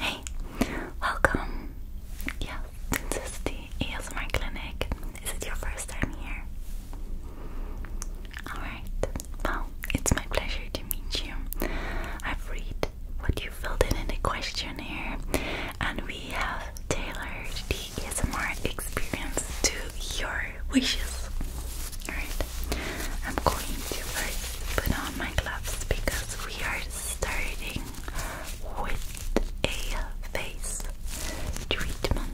Hey, welcome. Yes, this is the ASMR clinic. Is it your first time here? Alright, well, it's my pleasure to meet you. I've read what you filled in in the questionnaire, and we have tailored the ASMR experience to your wishes. Alright, I'm going to first put on my gloves because we are starting with a face treatment.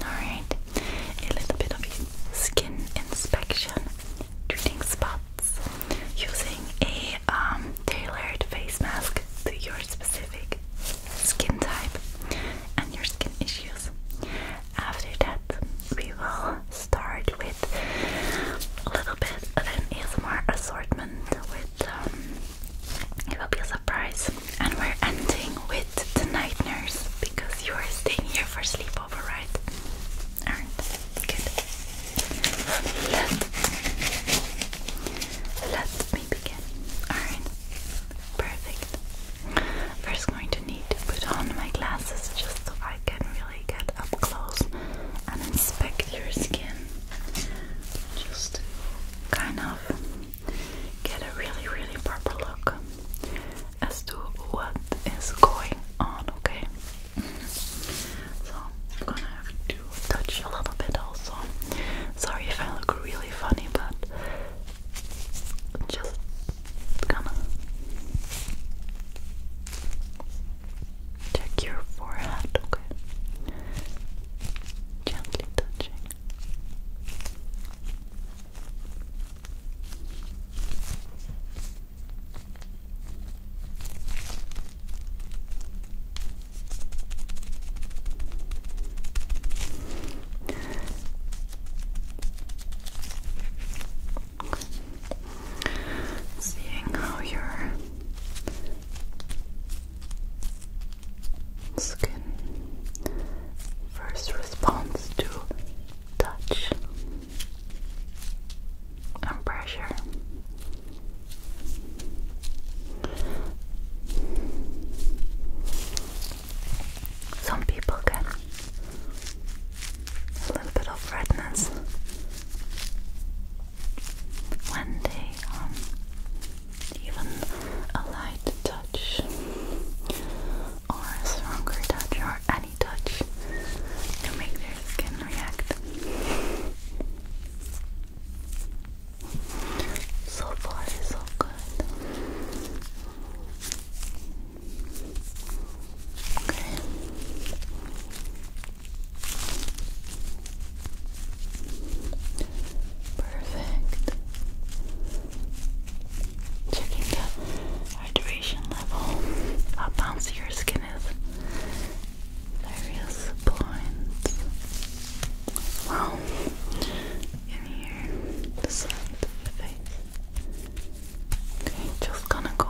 Alright, a little bit of skin inspection, treating spots, using a um, tailored face mask to your specific skin type and your skin issues. After that, we will start with a little bit bit of an ASMR assortment with um, it will be a surprise. And we're ending with the night nurse because you are staying here for sleepover, right? Alright, good. Let, let me begin. Alright, perfect. First, going to need put on my glasses just so I can get up close and inspect your skin just kind of get a really, really proper look as to what is going on, okay? So, I'm going to touch a little bit also. Sorry if I look really funny, but just gonna Check your forehead, okay? Gently touching seeing how your skin first responds to touch and pressure. Some people get a little bit of redness when they um, even a light touch or a stronger touch or any touch to make their skin react. So far, so good. Okay. Perfect. Checking the hydration level. How bouncy your skin is. Various points. Wow. In here, the side of the face. just gonna go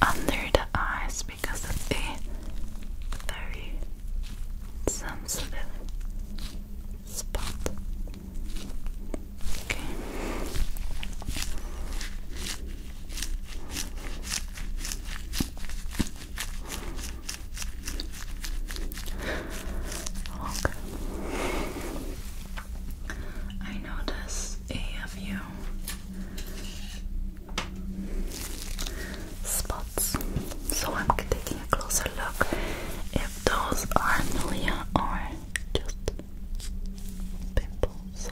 under the eyes because of a very sensitive spot. Okay. Okay. I notice a of you spots. So I'm taking a closer look if those are milia or just pimples. So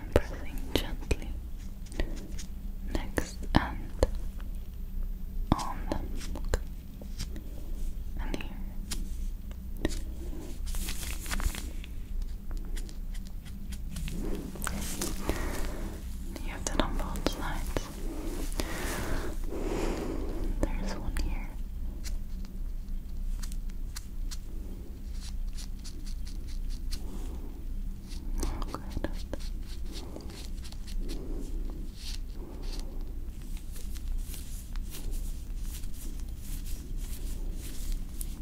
I'm pressing gently next and on them. Look. And here. You have that on There's one here. Oh,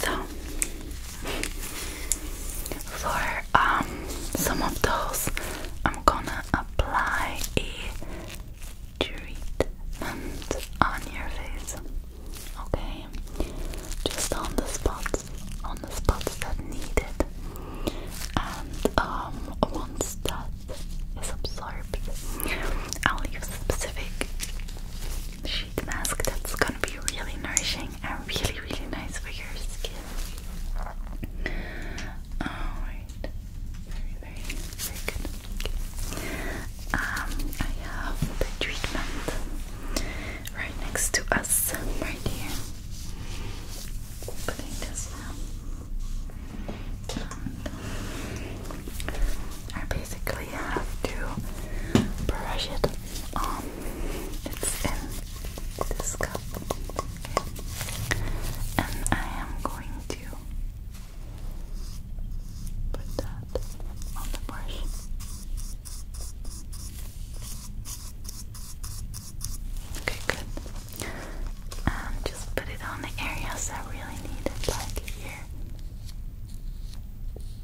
So, for um, some of those, I'm gonna apply a treatment on your face. Okay, just on the spots, on the spots that need it. And um, once that is absorbed, I'll leave specific sheet mask that's gonna be really nourishing and really, really nice for your skin. Alright. Very, very, very good. Um, I have the treatment right next to us, right here. Putting this down basically have to brush it. Um, it's in this cup, and I am going to put that on the brush. Okay, good. And just put it on the areas that really need it, like here.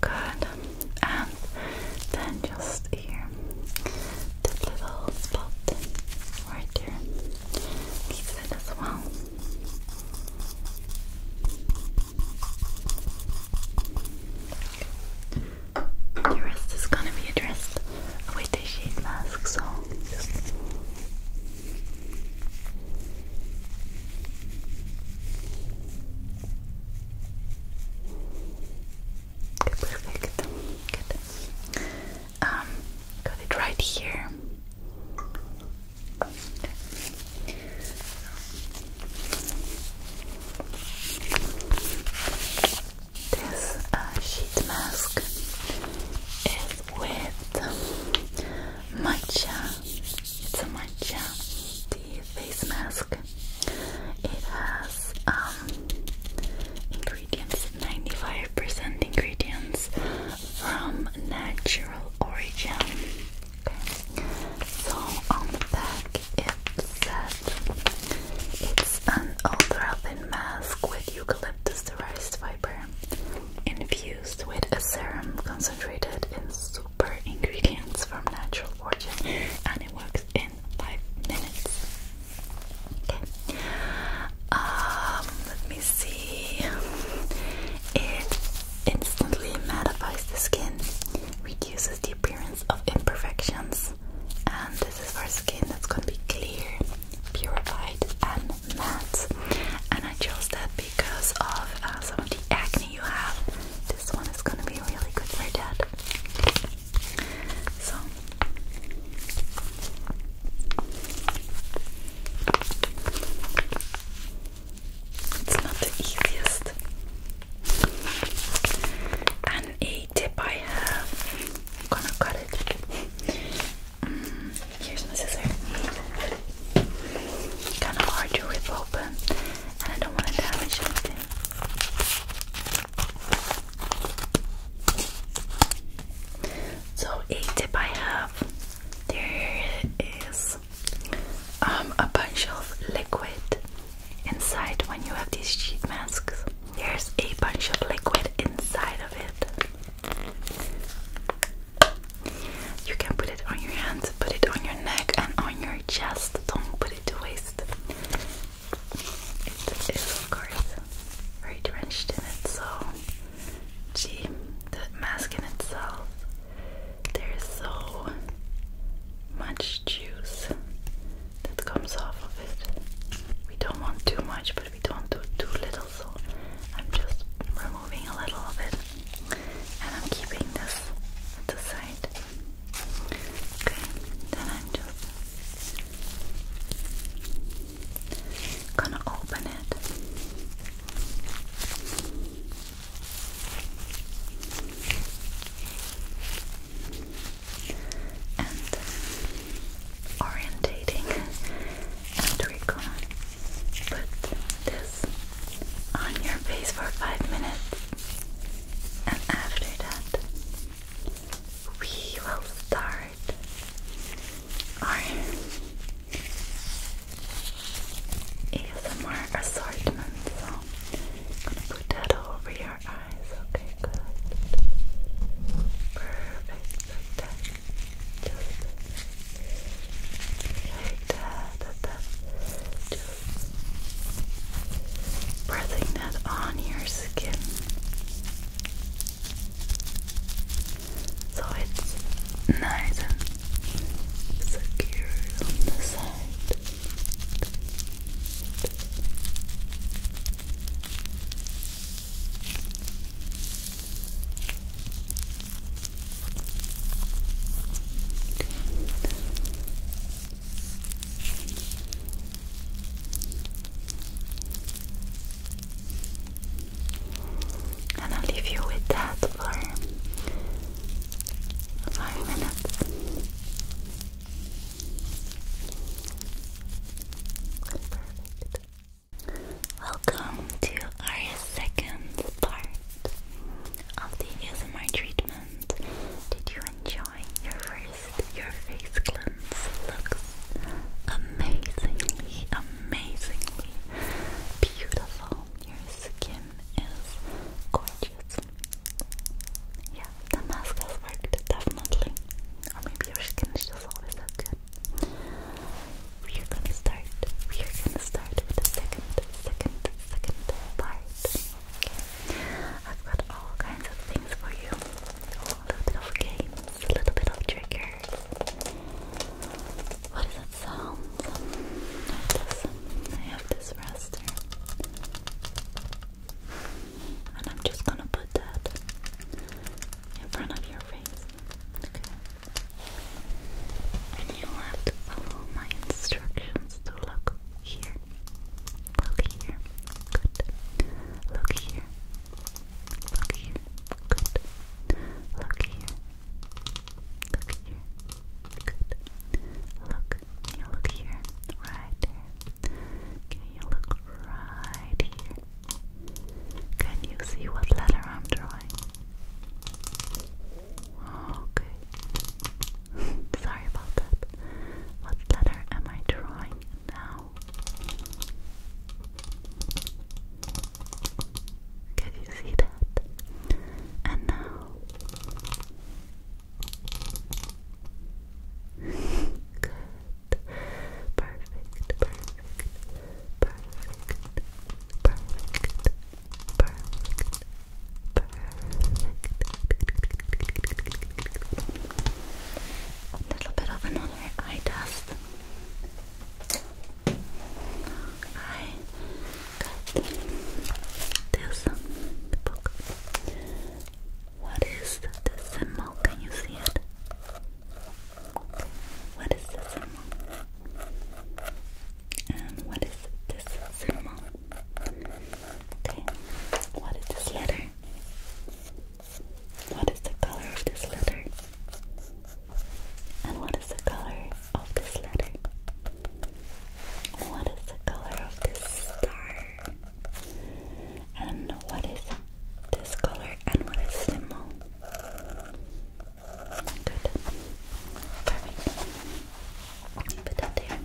Good. And then just here, this little spot right there. Keep it as well. The rest is gonna be addressed with a sheet mask, so perfect. Um, got it right here. This uh, sheet mask is with matcha. It's a matcha face mask. It has um, ingredients, 95% ingredients from natural origin. So on the back it said it's an ultra thin mask with eucalyptus derived fiber infused with a serum concentrated in super ingredients from natural origin and it works in five minutes. Um, let me see. It instantly mattifies the skin, reduces the appearance of imperfections, and this is for skin that's going to be clear, purified, and matte. And I chose that because of uh, some of the acne you have this one is gonna be really good for dad. So it's not the easiest. And a tip I have, I'm gonna cut it. Mm, here's my scissor. Kind of hard to rip open, and I don't want to damage anything. So a tip I have there is um, a bunch of liquid inside when you have these sheet masks. There's a bunch of liquid inside of it. You can put it on your hand, put it on your neck, and on your chest. Don't put it to waste. It is, of course, very drenched in it, so gee, the mask in itself, there's so much juice that comes off of it. We don't want too much, but we don't do too little, so I'm just removing a little of it and I'm keeping this at the side. Okay, then I'm just gonna open it. And orientating, and we're gonna put the on your face for five minutes, and after that, we will start our ASMR assortment. So, gonna put that over your eyes, okay? Good. Perfect, like that. Just like that, that, that. Just breathing that on your skin so it's nice and secure on the side. And I'll leave you with that for five minutes. Welcome to our second part of the treatment. Did you enjoy your first your face cleanse? Looks amazingly, amazingly beautiful. Your skin is gorgeous. Yeah, the mask has worked definitely. Or maybe your skin is just always that good. We are gonna start. We are gonna start with the second, second, second part. I've got all kinds of things for you. a little bit of games, a little bit of triggers. What is that sound? I I have this raster. And I'm just gonna put that in front of your face. Okay. And you'll have to follow my instructions to look here. Look here. Good. Look here. Look here. Good. Look here. Look here. Good. Look. look here? Right there. Can you look right here? Can you see what letter I'm drawing? Okay. Sorry about that. What letter am I drawing now? Can you see that? And now. Good. Perfect, perfect, perfect, perfect, perfect, a little bit of another eye test. I got this book. What is the symbol? Can you see it? What is the symbol? And what is this symbol? Okay, what is this letter? What is the color of this letter? And what is the color of this letter? What is the color of this star? And what is this color and what is the moon? Good. Perfect. Put that there.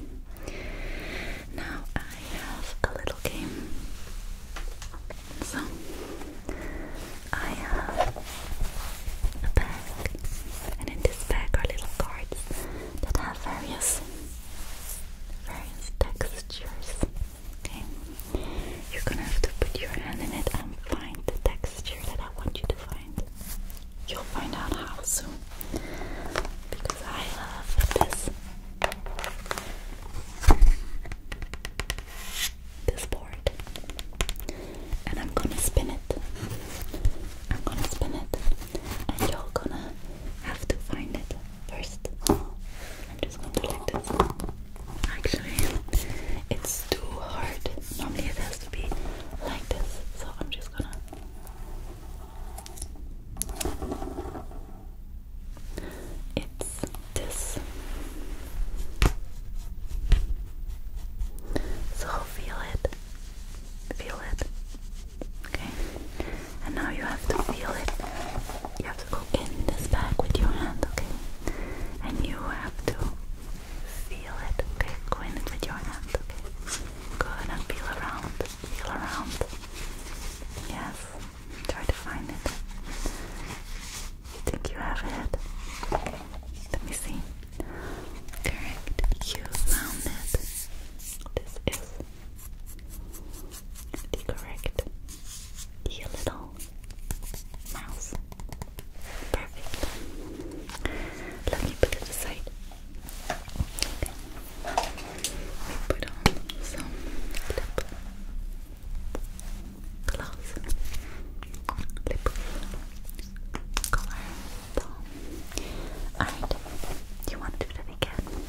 Now I have a little game. So I have a bag, and in this bag are little cards that have various various textures. Okay, you're gonna have to put your hand in it and find the texture that I want you to find you'll find out how soon because I love this this board and I'm gonna spin it I'm gonna spin it and you're gonna have to find it first I'm just gonna do this actually it's too hard normally it has to be like this so I'm just gonna it's this. So feel it. Feel it. Okay. And now you have to feel it. You have to go in this bag with your hand, okay? And you have to feel it, okay? Go in it with your hand, okay? Go and feel around feel around. Yes, try to find it. You think you have it? Let me see. Correct, you found it. This is the correct, the little mouse. Perfect. Let me put it aside put on some lip gloss, lip color Alright, you want to do that again?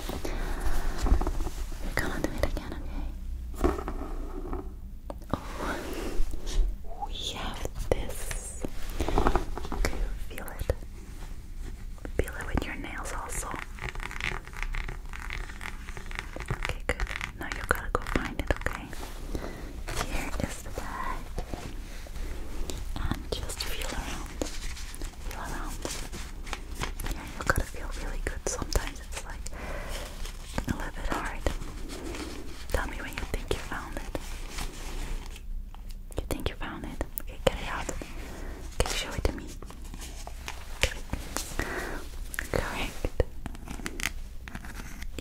We're gonna do it again, okay? Oh, we have this. Can feel it? Feel it with your nails also. Okay, good. Now you gotta go find it, okay? Here is the bag. And just feel around. Feel around. Yeah, you gotta feel really good. Sometimes it's like a little bit hard. Tell me when you think you found it. You think you found it? Okay, get it out. Okay, show it to me. Correct.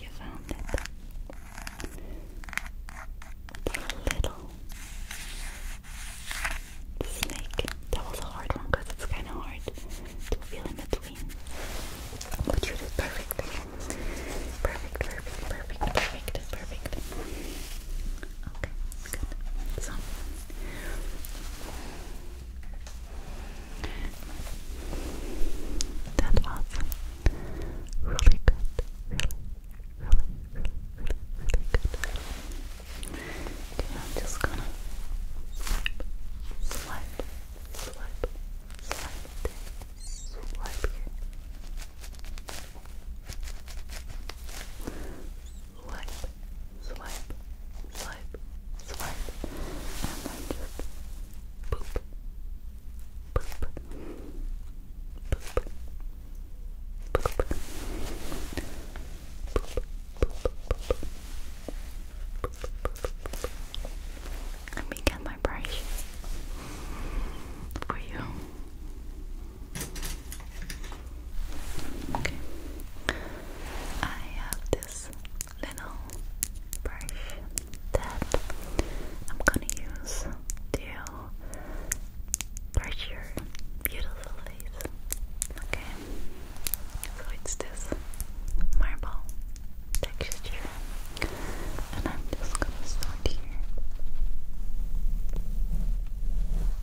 You found it. little snake. That was a hard one because it's kind of hard to feel in between. But you did perfect. Perfect, perfect, perfect, perfect, perfect. Okay, good. So that was really good. Really, really, really, really, good. just gonna swipe, swipe, swipe, swipe, swipe here. Swipe, swipe, swipe, swipe, and then just poop, poop, poop, poop, poop, poop, poop, let me get my brush for you. Okay. I have this little brush that I'm gonna use to brush your beautiful face. Okay. So it's this marble texture. And I'm just gonna start here.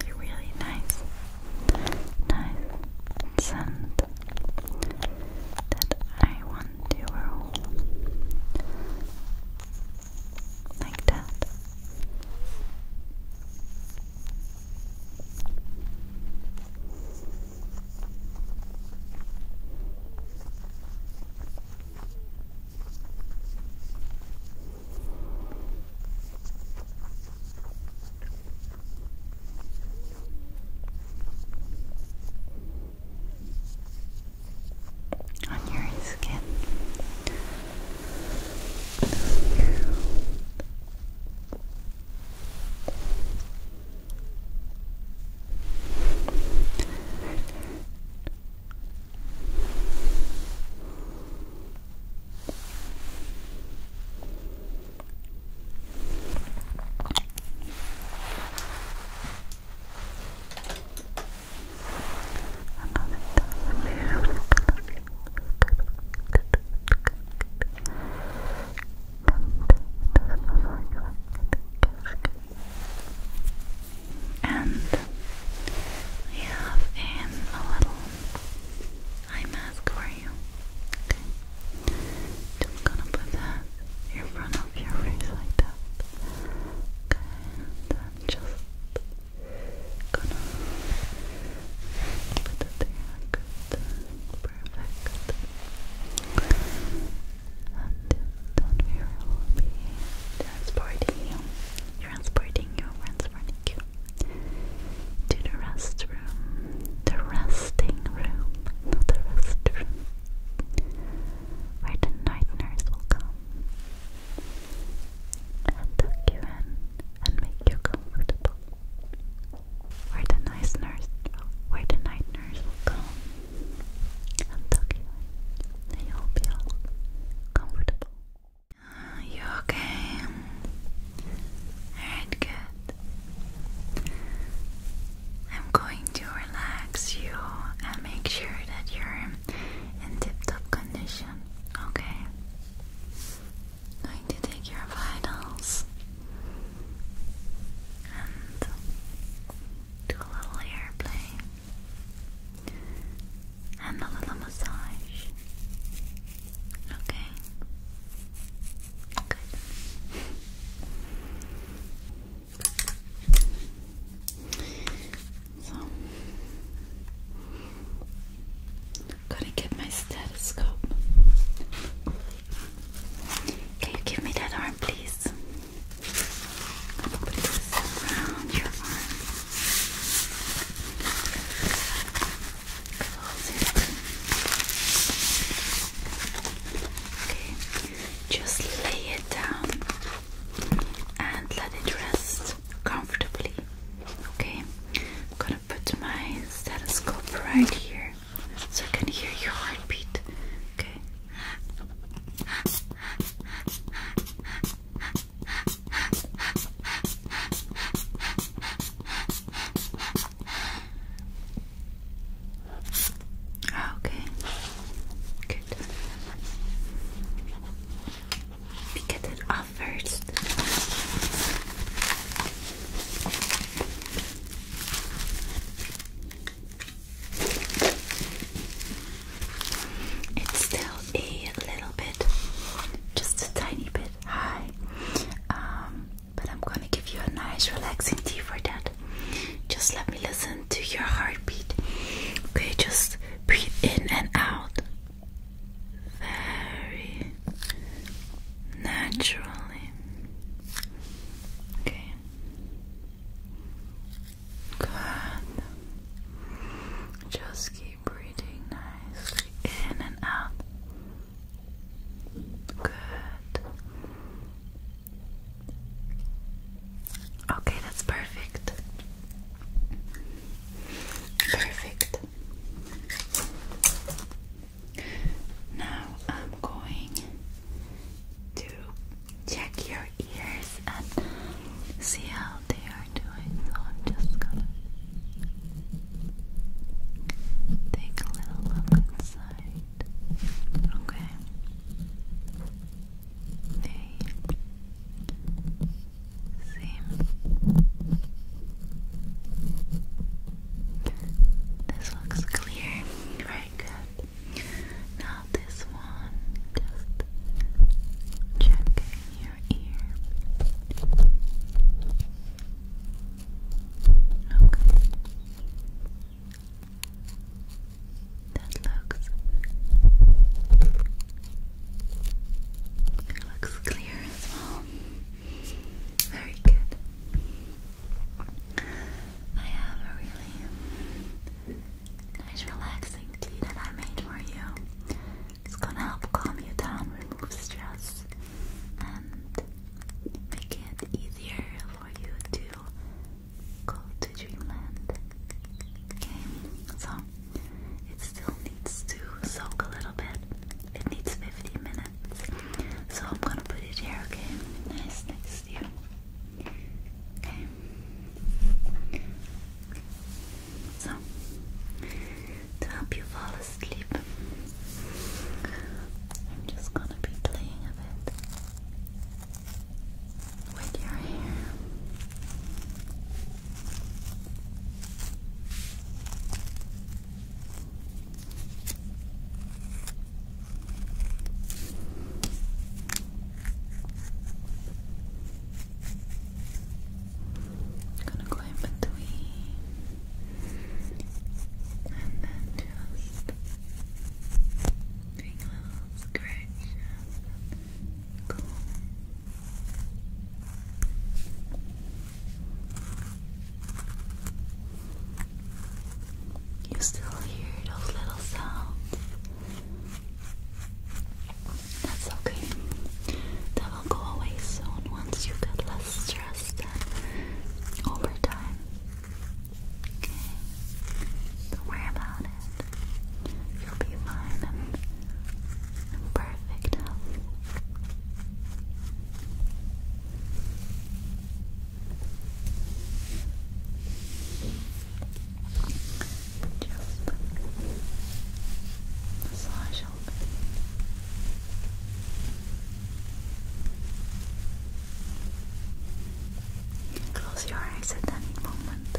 I have really nice nice scent that I want to roll like that on your skin. And we have in a little eye mask for just gonna put that in front of your face like that. Okay, then just gonna put it there. Perfect. And then we will be transporting you. Transporting you, transporting you to the restroom the resting room, not the rest room, where the night nurse will come and tuck you in and make you comfortable. Where the nice nurse, where the night nurse will come and tuck you in, and you'll comfortable. Ah, you okay? Alright, good. I'm going to relax you and make sure that you're in tip top condition, okay? Going to take your vitals and do a little airplay and a little massage. Okay. Good. So, gotta get my stethoscope. Can you give me that arm, please? around your arm. Okay, just lay it down and let it rest comfortably. Okay, I'm gonna put my stethoscope right here so I can hear your heartbeat. Okay. Ah, okay. Good. We get it off first. It's still a little bit, just a tiny bit high. Um, but I'm gonna give you a nice relaxing tea for that. Just let me listen to your heartbeat. Okay, just breathe in and out very naturally. Okay. Good. Just keep breathing nicely in and out. Good. Okay, that's perfect. Perfect. Now I'm going to check your ears and see how they are doing. So I'm just gonna take a little look inside. Okay. They seem. This looks clear. Very good. Now this one, just checking your ear. Okay. That looks it looks clear as well. Very good. I have a really nice relaxing tea that I made for you. It's gonna help calm you down, remove stress, and make it easier, for you to go to dreamland. Okay, so it still needs to soak a little bit. It needs 50 minutes. So I'm gonna put it here, okay? Nice next to Okay. So to help you fall asleep, I'm just gonna be playing a bit with your hair. gonna go in between and then just doing little scratch You still hear those little sounds? That's okay. That will go away soon once you get less stressed over time Okay. Don't worry about it. You'll be fine and perfect Just massage open. Close your eyes at any moment,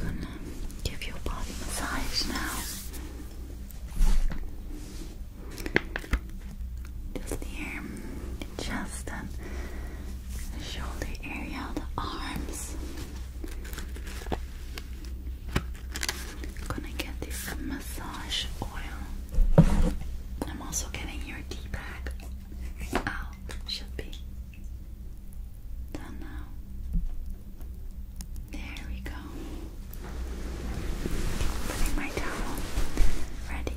I'm gonna give your body massage now. Just here, the the shoulder area, the arms. Gonna get this massage oil. I'm also getting your tea bag out. Should be done now. There we go. Putting my towel ready.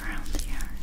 Around the arms.